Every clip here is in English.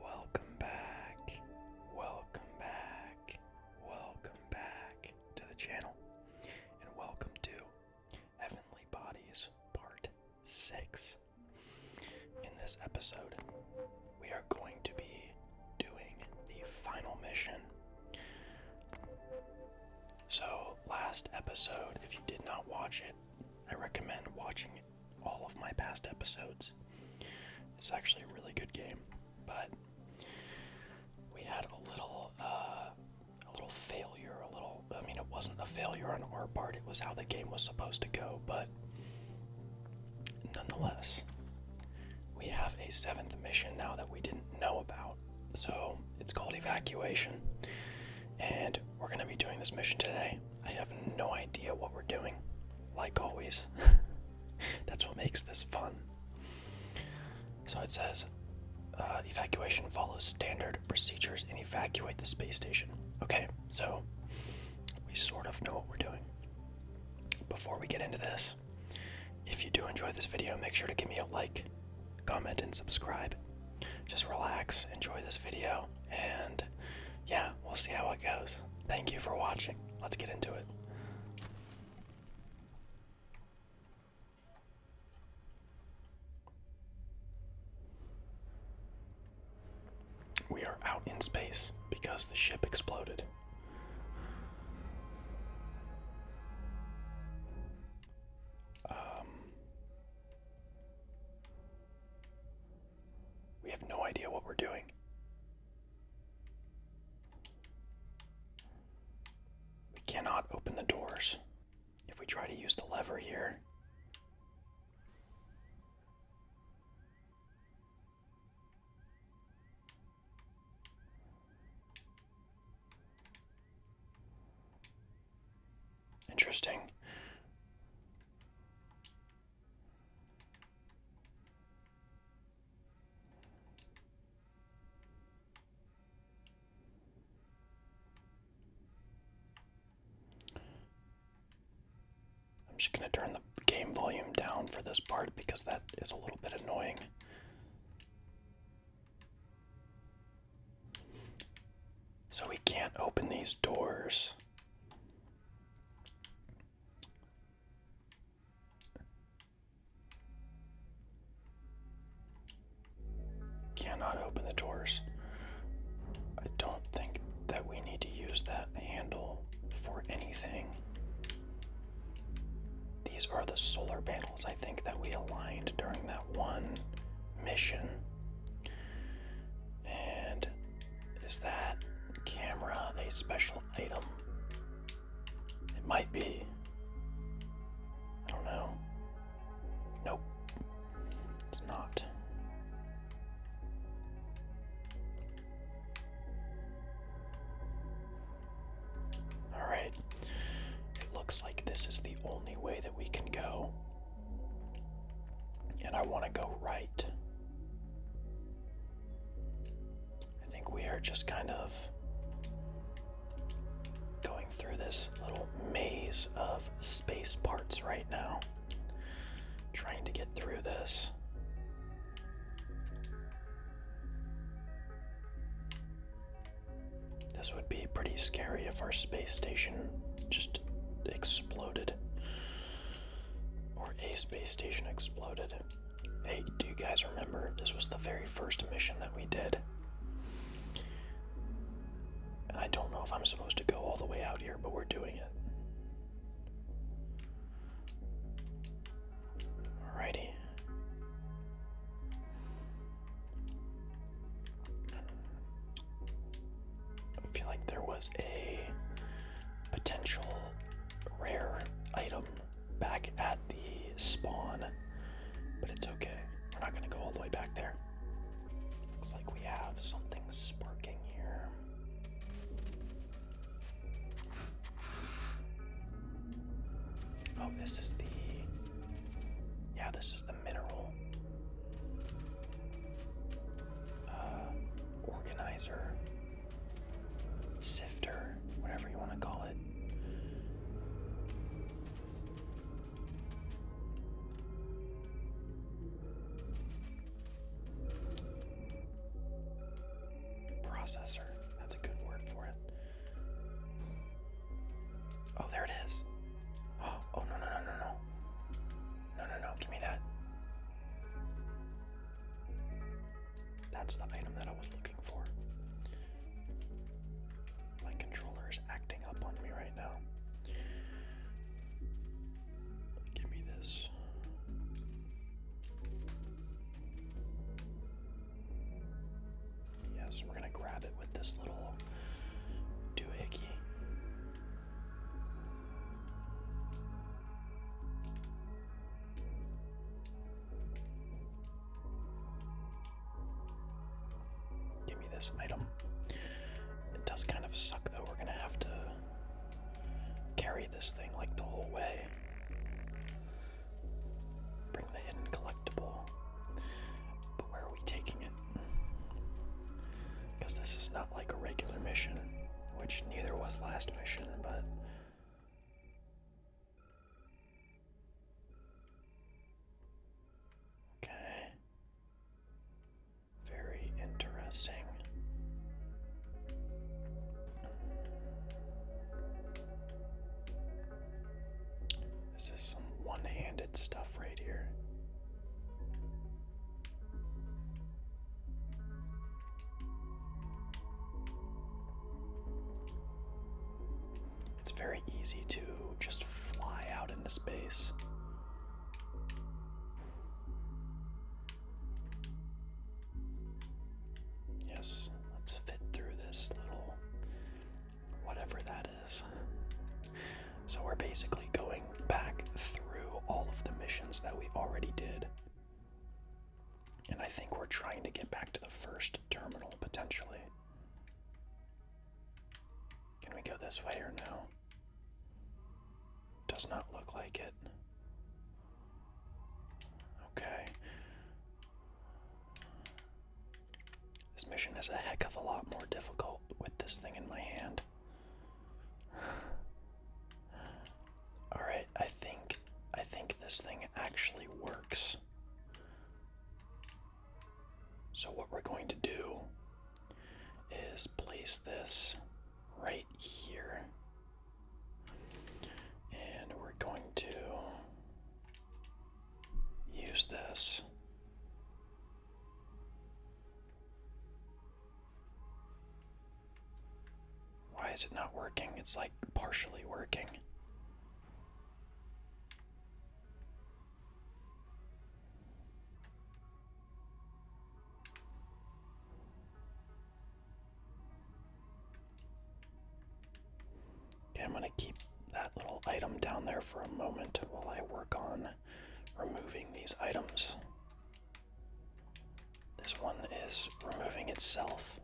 Welcome back, welcome back, welcome back to the channel, and welcome to Heavenly Bodies Part 6. In this episode, we are going to be doing the final mission. So, last episode, if you did not watch it, I recommend watching it all of my past episodes. It's actually a really good game, but we had a little, uh, a little failure. A little, I mean, it wasn't a failure on our part. It was how the game was supposed to go, but nonetheless, we have a seventh mission now that we didn't know about. So it's called evacuation, and we're gonna be doing this mission today. I have no idea what we're doing, like always. That's what makes this fun. So it says uh, evacuation follows standard procedures and evacuate the space station. Okay, so we sort of know what we're doing. Before we get into this, if you do enjoy this video, make sure to give me a like, comment, and subscribe. Just relax, enjoy this video, and yeah, we'll see how it goes. Thank you for watching. Let's get into it. We are out in space because the ship exploded. Um, we have no idea what we're doing. We cannot open the doors. If we try to use the lever here, Interesting. I'm just going to turn the game volume down for this part because that is a little bit annoying. So we can't open these doors. Cannot open the doors. I don't think that we need to use that handle for anything. These are the solar panels, I think, that we aligned during that one mission. And is that camera a special item? It might be. I don't know. Nope. It's not. Alright. It looks like this is the only way that we can go and I want to go right. I think we are just kind of going through this little maze of space parts right now, trying to get through this. This would be pretty scary if our space station just exploded. Or a space station exploded. Hey, do you guys remember? This was the very first mission that we did. And I don't know if I'm supposed to go all the way out here, but we're doing it. Alrighty. I feel like there was a potential rare item back at the spawn, but it's okay. We're not going to go all the way back there. Looks like we have something sparking here. Oh, this is the. Yeah, this is the mineral. Uh, organizer, sifter, whatever you want to call it. Processor, that's a good word for it. Oh, there it is. Oh, no, no, no, no, no. No, no, no, give me that. That's the item that I was looking for. My controller is acting up on me right now. Give me this. Yes, we're gonna grab it with this little doohickey. Give me this item. It does kind of suck though, we're gonna have to carry this thing like the whole way. Bring the hidden collectible. But where are we taking it? Because this is not like a regular mission, which neither was last mission, but. Okay. Very interesting. This is some one handed stuff right here. It's very easy to just fly out into space. Yes, let's fit through this little whatever that is. So we're basically going back through all of the missions that we already did. And I think we're trying to get back to the first terminal potentially. Can we go this way or no? Does not look like it. Okay. This mission is a heck of a lot more difficult with this thing in my hand. All right, I think I think this thing actually works. So what we're going to do is place this right here. And we're going to use this why is it not working? It's like partially working. Okay, I'm going to keep that little item down there for a moment while I work on removing these items. This one is removing itself.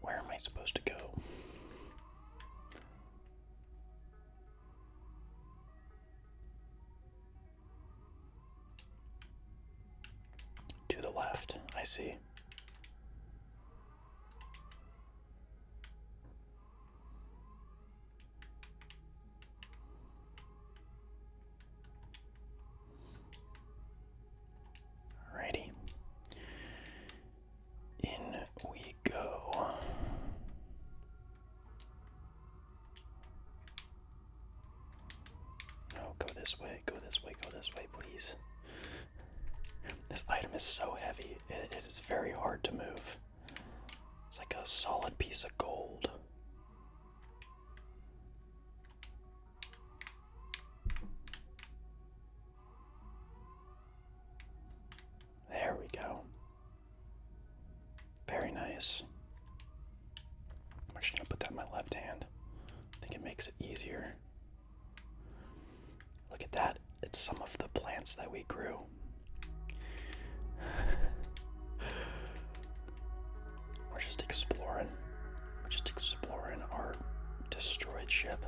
Where am I supposed to go? To the left, I see. Alrighty. In we go. No, go this way, go this way, go this way, please. This item is so heavy, it is very hard to move. It's like a solid piece of gold. There we go. Very nice. I'm actually going to put that in my left hand. I think it makes it easier. Look at that. It's some of the plants that we grew. We're just exploring. We're just exploring our destroyed ship.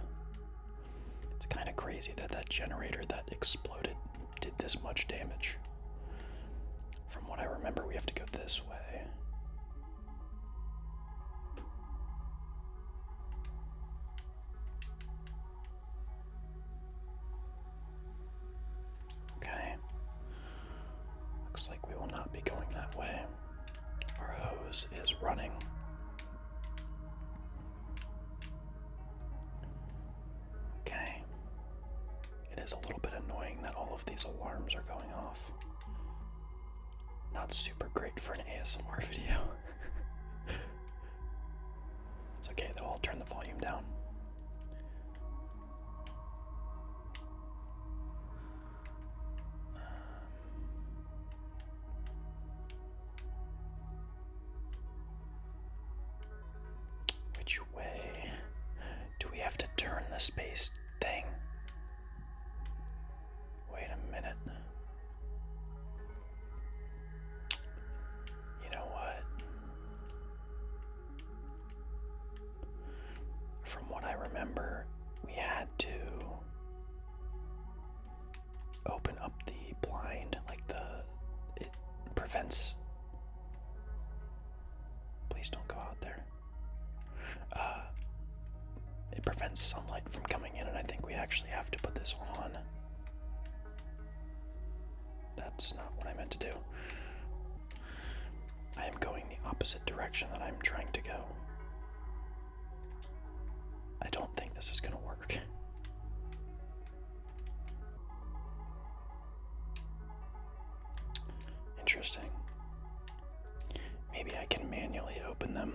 It's kind of crazy that that generator that exploded did this much damage. From what I remember, we have to go this way. Okay. Looks like we will not be going that way. Our hose is running. Okay. It is a little bit annoying that all of these alarms are going off. Not super great for an ASMR video. it's okay though, I'll turn the volume down. Which way? Do we have to turn the space thing? Wait a minute. You know what? From what I remember, we had to open up the blind, like the it prevents. Please don't go out there. Uh, it prevents sunlight from coming in, and I think we actually have to put this on. That's not what I meant to do. I am going the opposite direction that I'm trying to go. I don't think this is gonna work. Interesting. Maybe I can manually open them.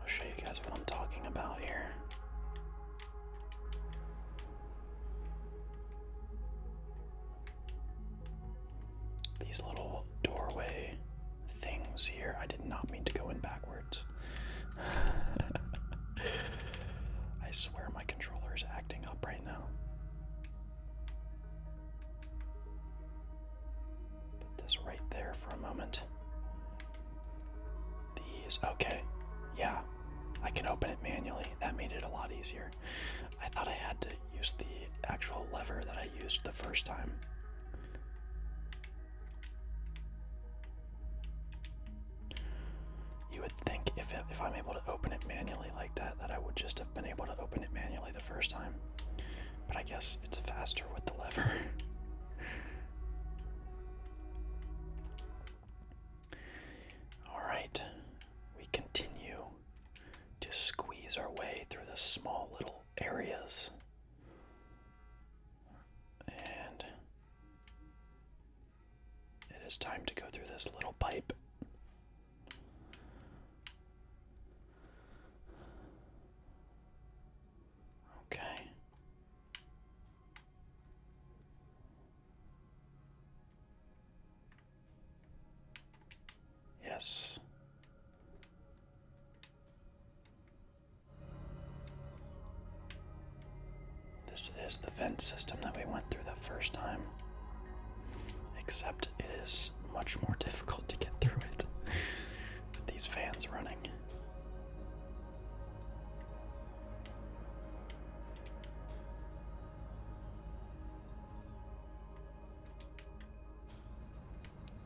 I'll show you guys what I'm talking about here. These little doorway things here. I did not mean to go in backwards. I swear my controller is acting up right now. Put this right there for a moment. These, okay. Yeah, I can open it manually. That made it a lot easier. I thought I had to use the actual lever that I used the first time. You would think if, if I'm able to open it manually like that, that I would just have been able to open it manually the first time. But I guess it's faster with the lever. Alright, we continue to squeeze our way through the small little areas. And it is time to go through this little pipe. Okay. Yes. This is the vent system that we went through the first time, except it is much more difficult to get through it with these fans running.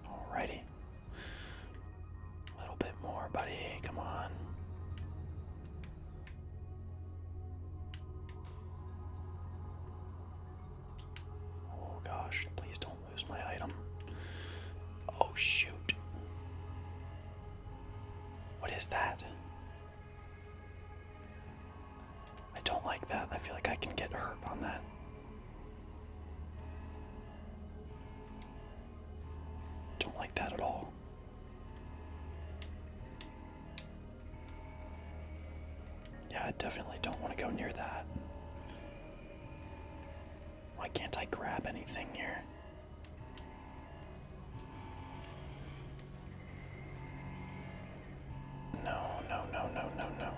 Alrighty, a little bit more, buddy. Come on. Oh gosh, please don't lose my item. Oh shoot. What is that? I don't like that. I feel like I can get hurt on that. Don't like that at all. Yeah, I definitely don't want to go near that. Why can't I grab anything here? No, no, no, no, no, no.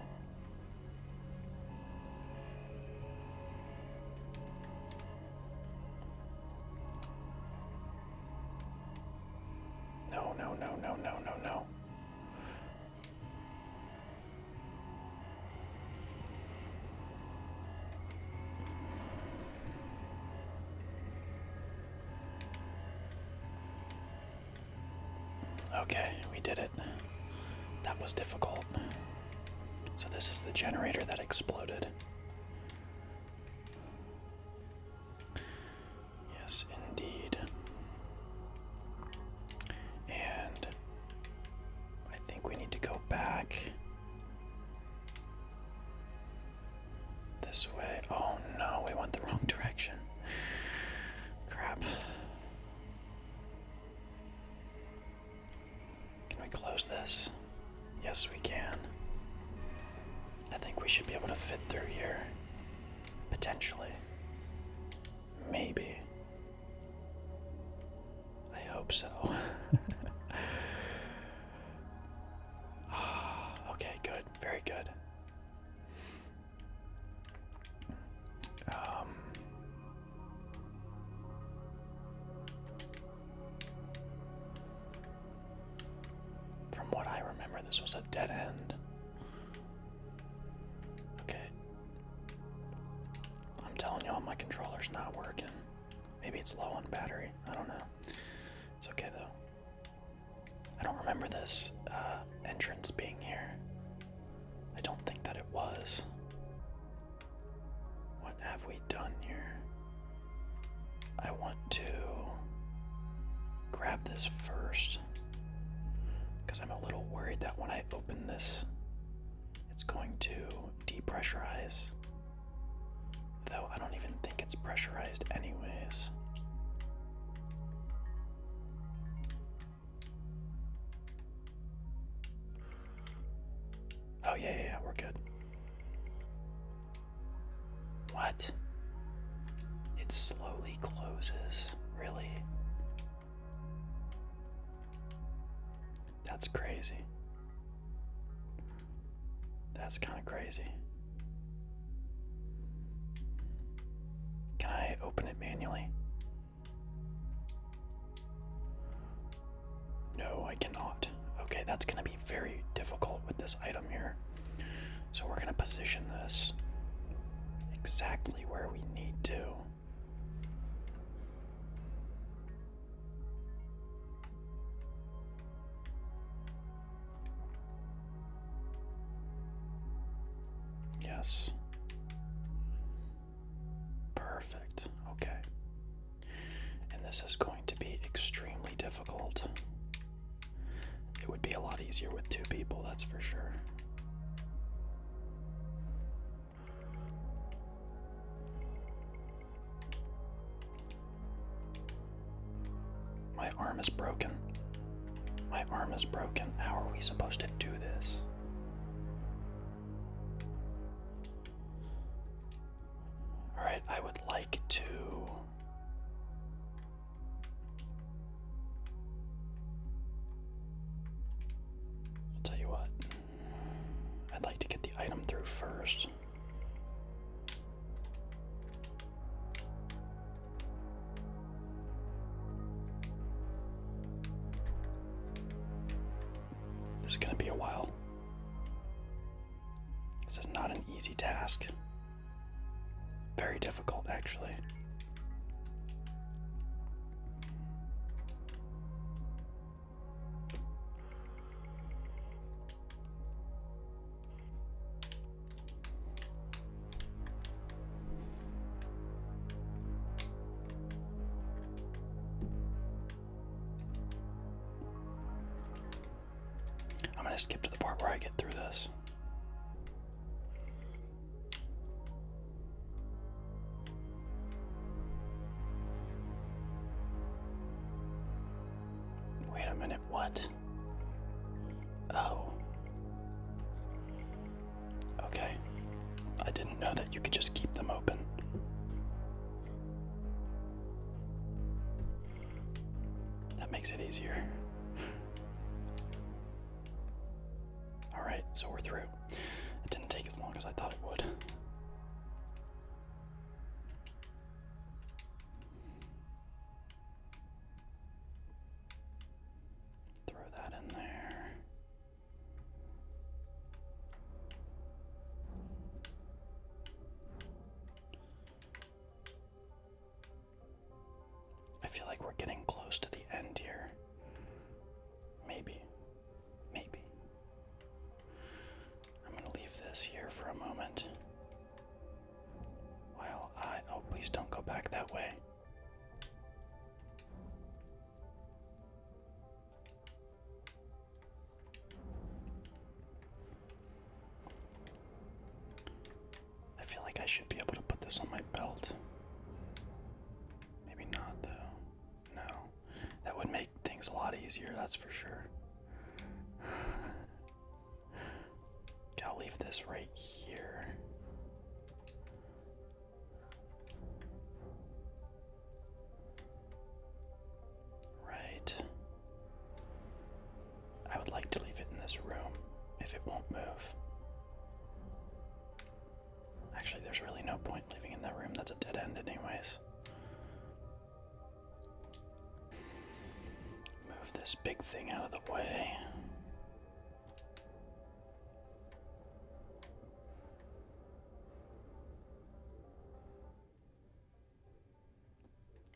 No, no, no, no, no, no, no. Okay, we did it. That was difficult. So, this is the generator that exploded. Yes, indeed. And I think we need to go back this way. Oh no, we went the wrong direction. Crap. Can we close this? Yes, we can. I think we should be able to fit through here. Potentially. Maybe. I hope so. okay, good. Very good. Um, from what I remember, this was a dead end. Okay. I'm telling y'all, my controller's not working. Maybe it's low on battery. I don't know. It's okay though. I don't remember this uh, entrance being here. I don't think that it was. What have we done here? I want to grab this first because I'm a little worried that when I open this, it's going to depressurize. Though I don't even think it's pressurized, anyways. Oh, yeah, yeah, we're good. What? It slowly closes. Really? That's crazy. That's kind of crazy. Can I open it manually? No, I cannot. Okay, that's going to be very difficult with this item here. So we're going to position this exactly where we need to. Yes. Perfect. Okay. And this is going to be extremely difficult. It would be a lot easier with two people, that's for sure. My arm is broken. My arm is broken. How are we supposed to do this? All right, I would like to. I'll tell you what. I'd like to get the item through first. This is going to be a while. This is not an easy task. Very difficult, actually. I'm going to skip to the part where I get through this. Wait a minute, what? Oh. Okay. I didn't know that you could just keep them open. That makes it easier. Alright, so we're through. It didn't take as long as I thought it would. Throw that in there. I feel like we're getting close to the end here. Maybe. Maybe. I'm going to leave this here for a moment. While I. Oh, please don't go back that way. I feel like I should be able to put this on my belt. Maybe not, though. No. That would make things a lot easier, that's for sure. okay, I'll leave this right here. Right. I would like to leave it in this room if it won't move. Actually, there's really no point leaving in that room. That's a dead end, anyways. Move this big thing out of the way.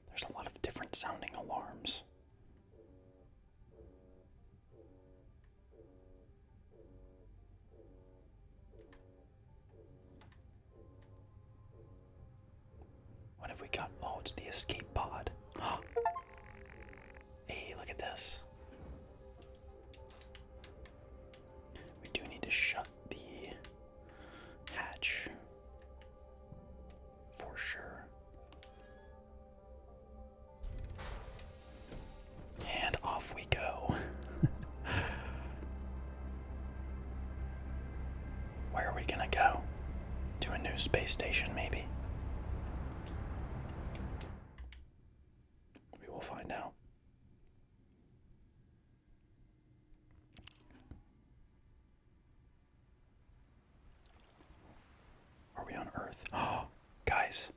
There's a lot of different sounding alarms. What have we got? Oh, it's the escape pod. hey, look at this. We do need to shut the hatch for sure. And off we go. Where are we gonna go? To a new space station, maybe? We will find out. Are we on Earth? Oh, guys.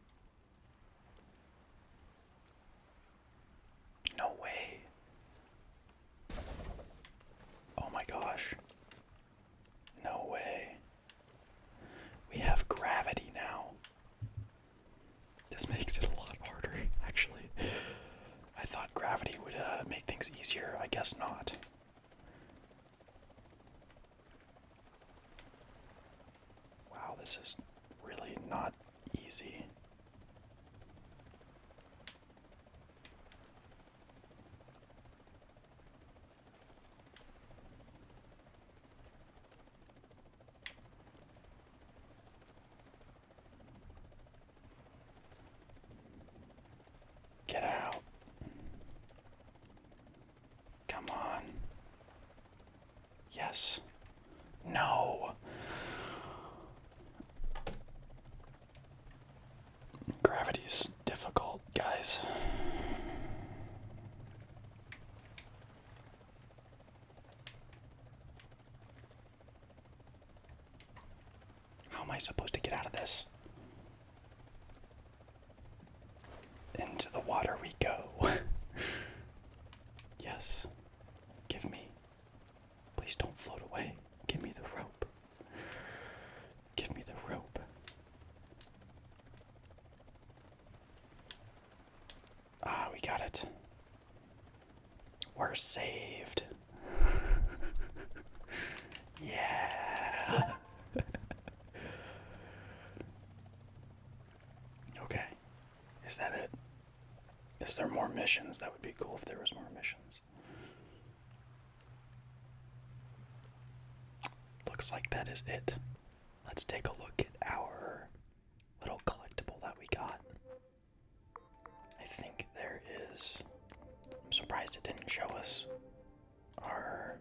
No way. Oh my gosh. No way. We have gravity now. This makes it a lot harder, actually. I thought gravity would uh, make things easier. I guess not. Wow, this is really not easy. Get out. Come on. Yes. No. Gravity's difficult, guys. How am I supposed to get out of this? Into the water we go. yes. Give me. Please don't float away. Give me the rope. Give me the rope. Ah, we got it. We're saved. yeah. okay. Is that it? Is there more missions? That would be cool if there was more missions. Looks like that is it. Let's take a look at our little collectible that we got. I think there is. I'm surprised it didn't show us our.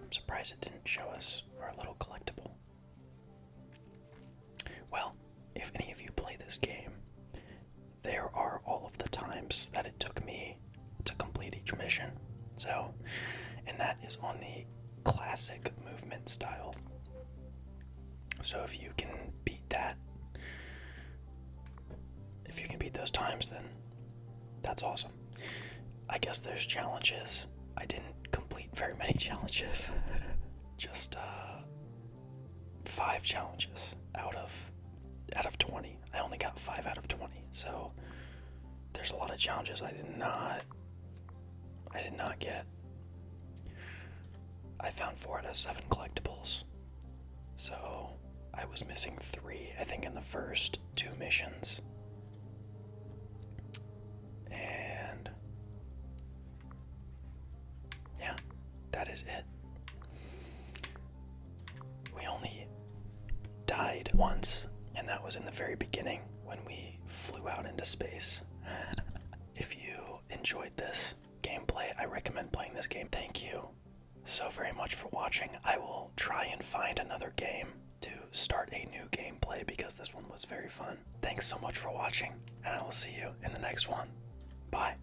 I'm surprised it didn't show us our little collectible. Well, if any of you play this game there are all of the times that it took me to complete each mission. So, and that is on the classic movement style. So, if you can beat that, if you can beat those times, then that's awesome. I guess there's challenges. I didn't complete very many challenges, just uh, five challenges out of out of 20. I only got 5 out of 20. So there's a lot of challenges I did not I did not get. I found 4 out of 7 collectibles. So I was missing 3 I think in the first two missions. And yeah, that is it we only died once, and that was in the very beginning when we flew out into space. if you enjoyed this gameplay, I recommend playing this game. Thank you so very much for watching. I will try and find another game to start a new gameplay because this one was very fun. Thanks so much for watching, and I will see you in the next one. Bye.